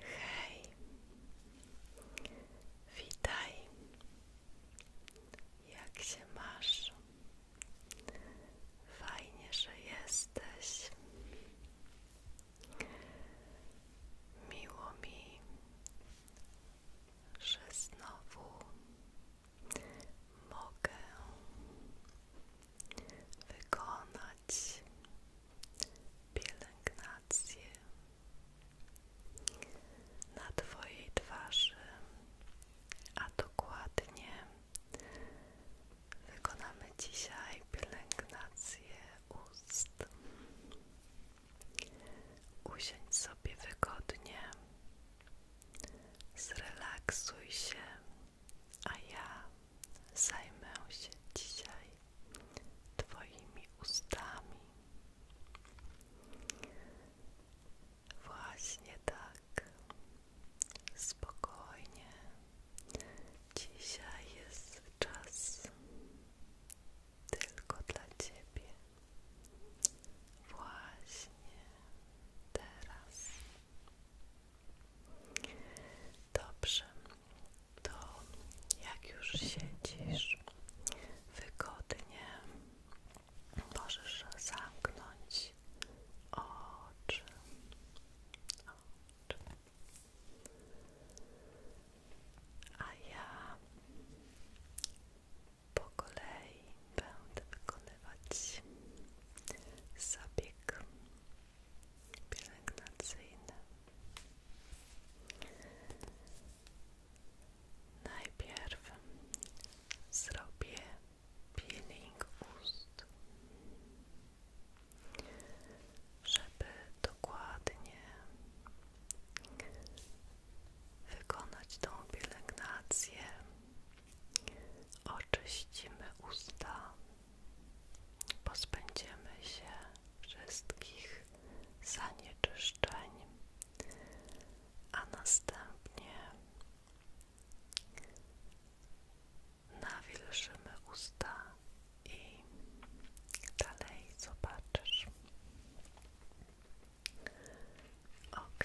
Hej, witaj. Jak się masz? Fajnie, że jesteś. Miło mi, że znowu mogę wykonać wykonać na Twojej twarzy, a dokładnie wykonamy dzisiaj pielęgnację ust. Usiądź sobie wygodnie, zrelaksuj się, a ja zajmę się dzisiaj Twoimi ustami. Właśnie tak, spokojnie. Dzisiaj jest czas tylko dla Ciebie. Właśnie teraz. Dobrze, to jak już siedzisz wygodnie, możesz zamknąć oczy. A ja po kolei będę wykonywać zabieg pielęgnacyjne. Najpierw zrobię peeling ust, żeby dokładnie wykonać tą pielęgnację Oczyścimy usta, pozbędziemy się wszystkich zanieczyszczeń, a następnie nawilżymy usta i dalej zobaczysz. Ok.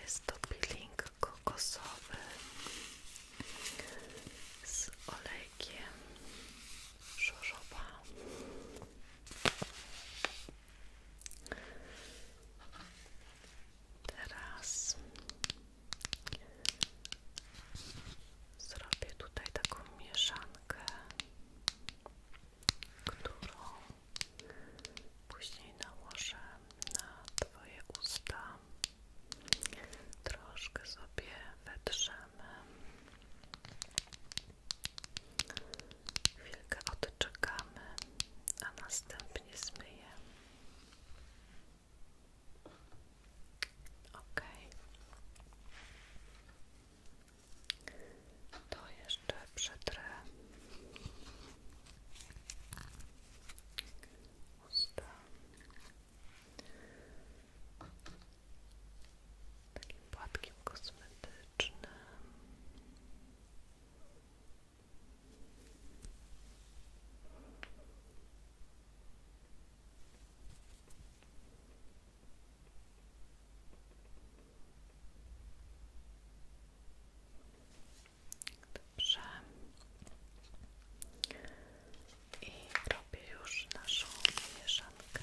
Jest to peeling kokosowy z olejkiem Teraz zrobię tutaj taką mieszankę którą później nałożę na Twoje usta. Troszkę sobie wetrzemy. Chwilkę odczekamy, a następnie zmyję. Ok. To jeszcze przetrę usta takim płatkiem kosmetycznym. I robię już naszą mieszankę.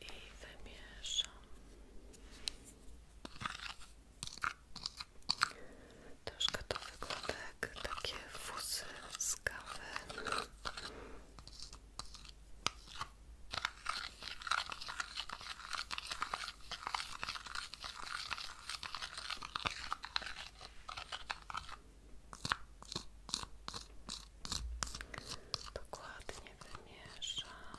I wymieszam. Troszkę to wygląda jak takie fusy z kawy. Dokładnie wymieszam.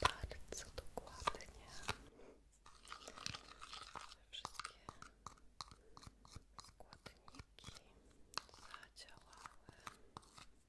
Bardzo dokładnie. Wszystkie składniki zadziałały.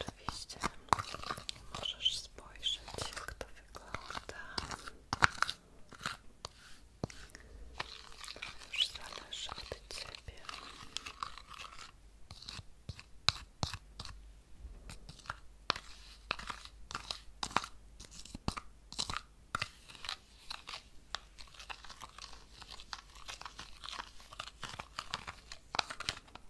Oczywiście możesz spojrzeć, jak to wygląda. To już zależy od ciebie.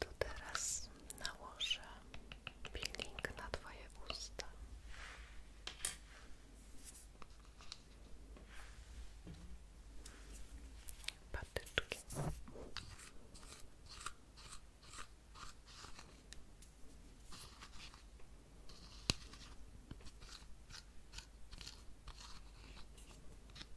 To teraz nałożę peeling na Twoje usta. Patyczki.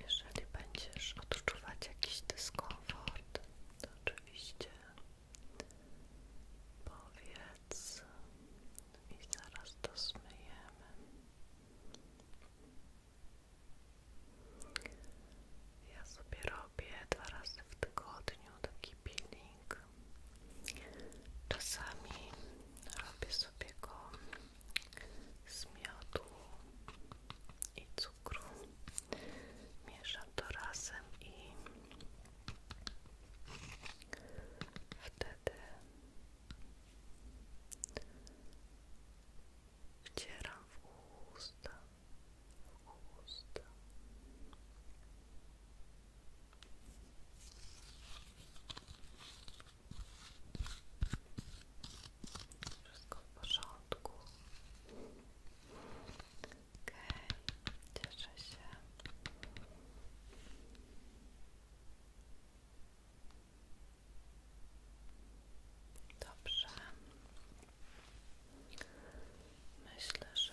Jeżeli będziesz odczuwać jakiś dyskomfort, to oczywiście powiedz mi, zaraz to zmyjemy. Ja sobie robię dwa razy w tygodniu taki peeling tak czasami robię sobie go z miodu i cukru mieszam to razem i wtedy wcieram w usta w usta wszystko w porządku. Okej, okay. cieszę się. Dobrze. Myślę, że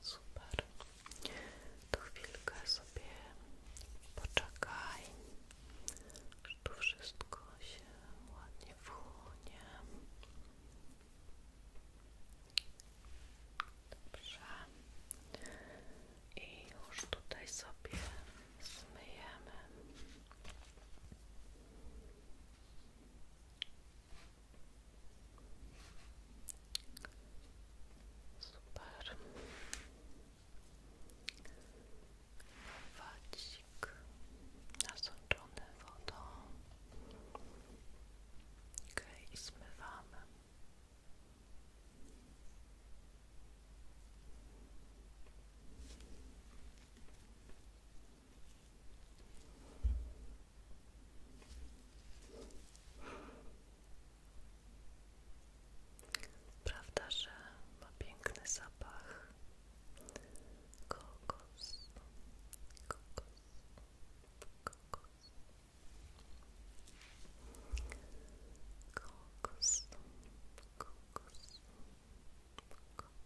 Super. Tu chwilkę sobie poczekaj. Już wszystko się ładnie wchłonie. Dobrze. I już tutaj sobie zmyjemy. Super. Wadzik nasączony wodą. Okej, okay, zmywamy. Prawda, że ma piękny zapach kokos, kokos, kokos, kokos, kokos, kokos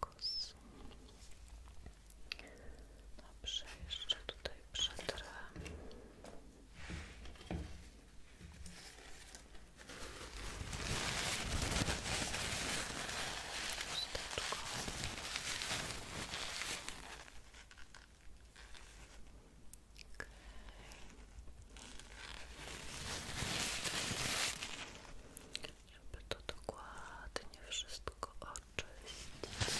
kokos. Dobrze, jeszcze tutaj przetrę delikatnie, by to dokładnie wszystko oczyścić.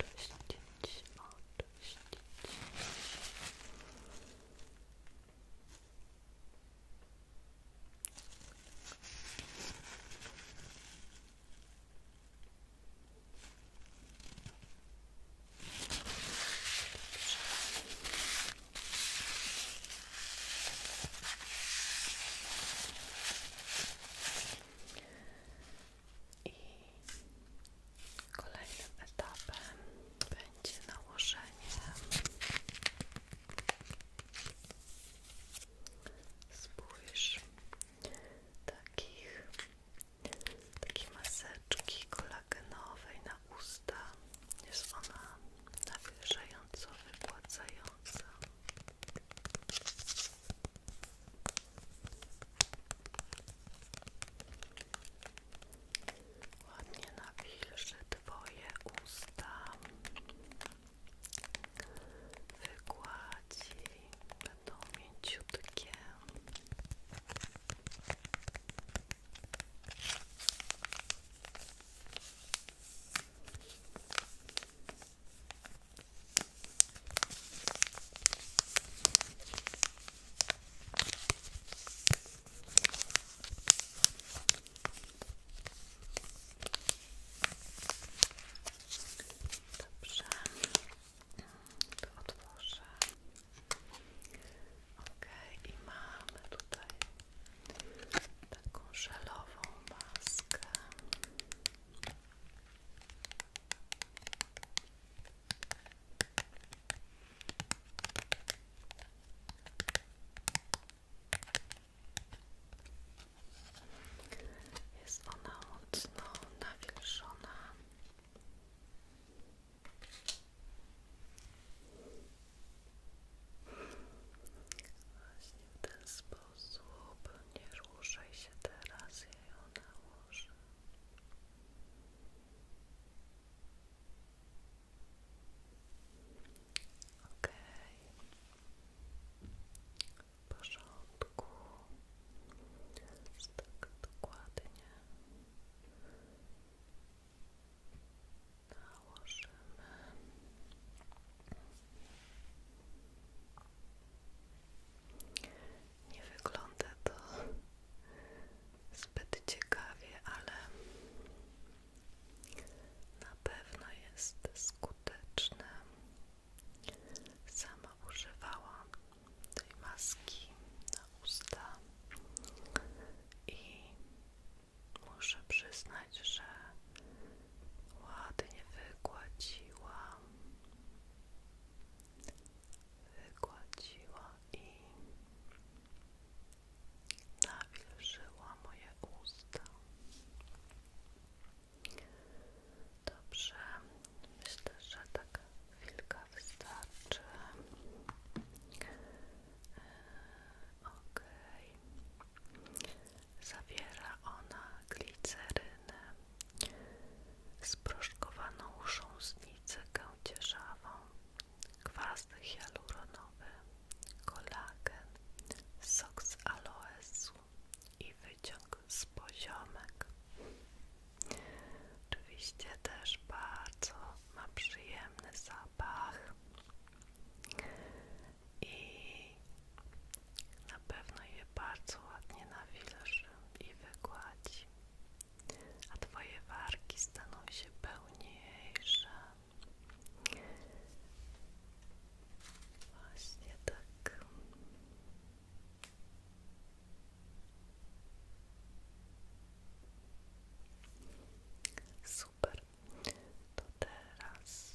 Oczyścić, oczyścić. I kolejnym etapem będzie nałożenie spójrz takich takiej maseczki kolagenowej na usta jest ona nawilżająco wypłacająca. Ładnie nawilży Twoje usta. Wykładzi będą mięciutkie. Dobrze, to otworzę. Ok, i tutaj taką żelową maskę. Jest ona mocno nawilżona. Właśnie w nie ruszaj się teraz, ja ją nałożę. Okej. Okay. Tak dokładnie nałożymy nie wygląda to zbyt ciekawie, ale na pewno jest skuteczne. Sama używałam tej maski na usta i muszę przyznać, że ładnie wygładziła wygładziła i nawilżyła moje usta dobrze, myślę, że tak chwilka wystarczy Zawiera ona glicerynę, sproszkowaną chrząsnicę kędzierzawą, kwas hialuronowy, kolagen, sok z aloesu i wyciąg z poziomek. Oczywiście też bardzo ma przyjemny zapach i na pewno je bardzo ładnie nawilżę i wygładzi, a Twoje warki staną się pełniejsze. Właśnie tak. Super to teraz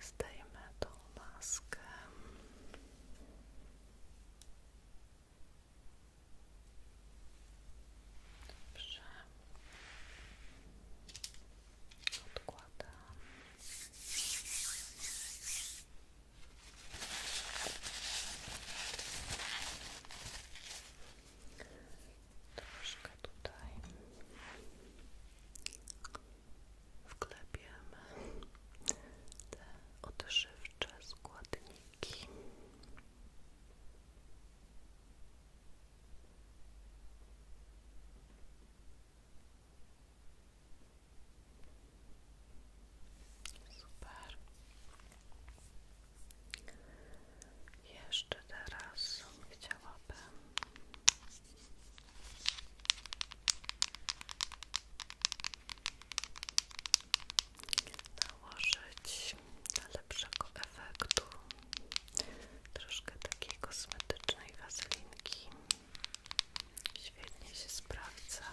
zdejmę tą maskę. Dobrze. Odkładam troszkę tutaj wklepiemy te odżywcze składniki. Super. Jeszcze teraz chciałabym nałożyć dla lepszego efektu troszkę takiej kosmetycznej wazelinki. Świetnie się sprawdza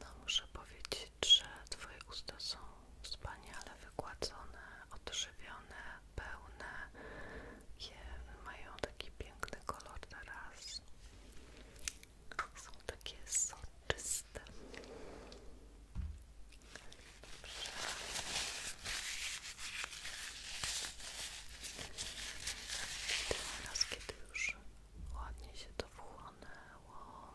No muszę powiedzieć, że Twoje usta są wspaniale wygładzone, odżywione, pełne. Je mają taki piękny kolor teraz. Są takie soczyste. Dobrze. Teraz, kiedy już ładnie się to wchłonęło,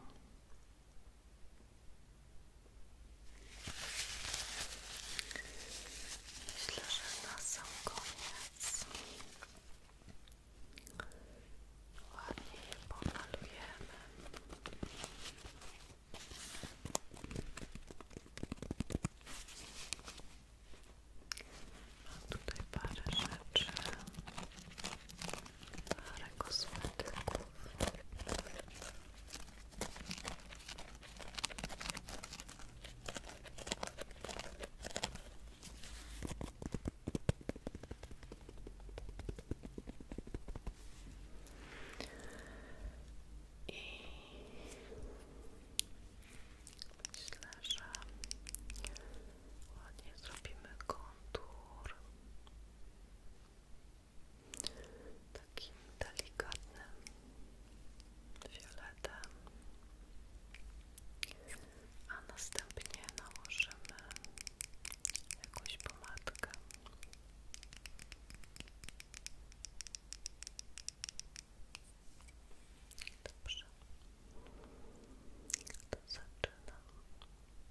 Myślę, że na sam koniec ładnie je tutaj parę rzeczy parę kosmetyków. I myślę, że ładnie zrobimy kontur takim delikatnym fioletem, a następnie nałożymy jakąś pomadkę. Dobrze, to zaczynam.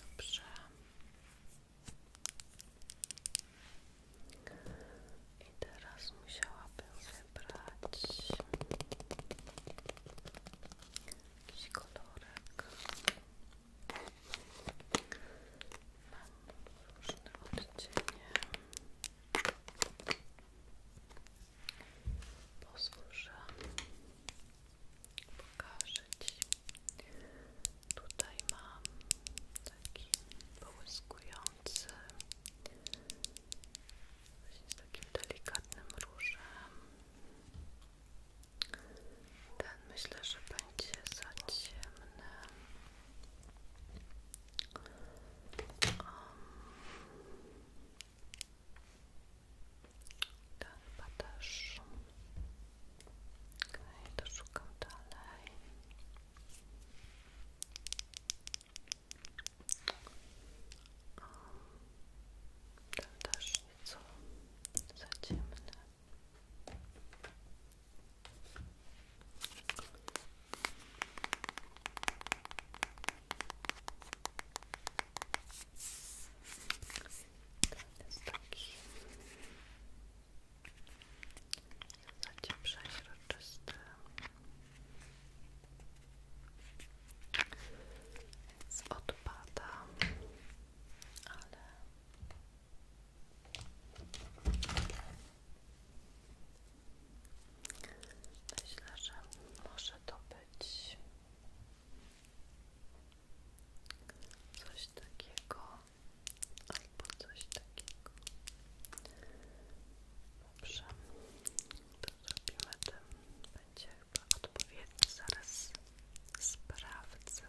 Dobrze. I teraz musiałabym wybrać jakiś kolorek. Mam różne odcienie. Pozwól, że pokażę Ci. Tutaj mam taki połyskujący z takim delikatnym różem. Ten myślę, że będzie za ciemny. Um, to tak, chyba też. Okej, szukam dalej. Um, też nieco za ten jest taki zacie przeźroczysty. odpada, ale myślę, że może to być Coś takiego albo coś takiego. Dobrze, to zrobimy tym. Będzie chyba odpowiedni. Zaraz sprawdzę.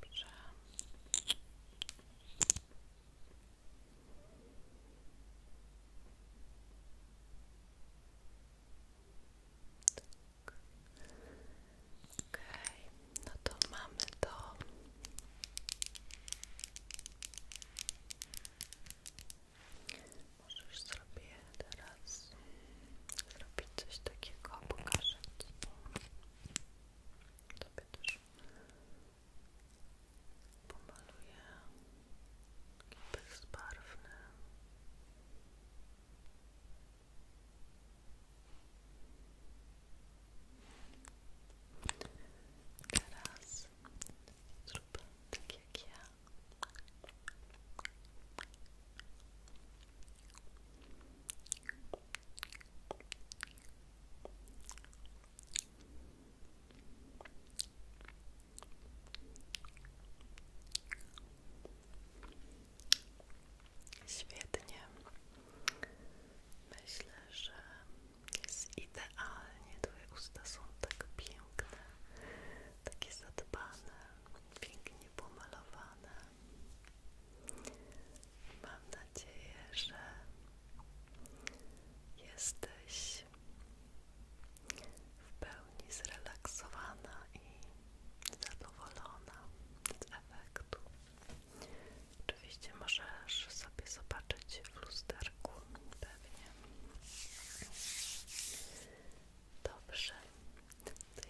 Dobrze. Tak. no to mamy to. Możesz sobie teraz zrobić coś takiego, pokażę Ci. Tobie też pomaluję bezbarwny. Teraz zrób tak jak Świetnie. Myślę, że jest idealnie. Twoje usta są tak piękne takie zadbane, pięknie pomalowane. Mam nadzieję, że jesteś w pełni zrelaksowana i zadowolona z efektu. Oczywiście możesz sobie zobaczyć w lusterku pewnie Dobrze,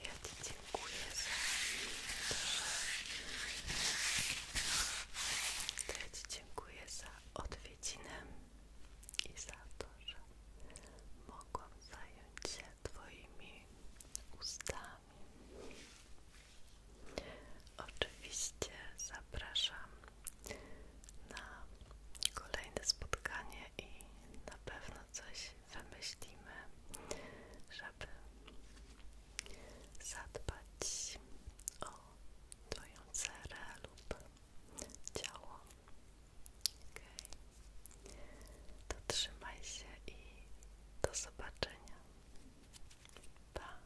ja Ci dziękuję za to, ja Ci dziękuję za odwiedzinę i za to, że mogłam zająć się Twoimi ustami. Oczywiście zapraszam na kolejne spotkanie i na pewno coś wymyślimy, żeby zadbać o Twoją cerę lub ciało. Okay. To trzymaj się i do zobaczenia. Pa!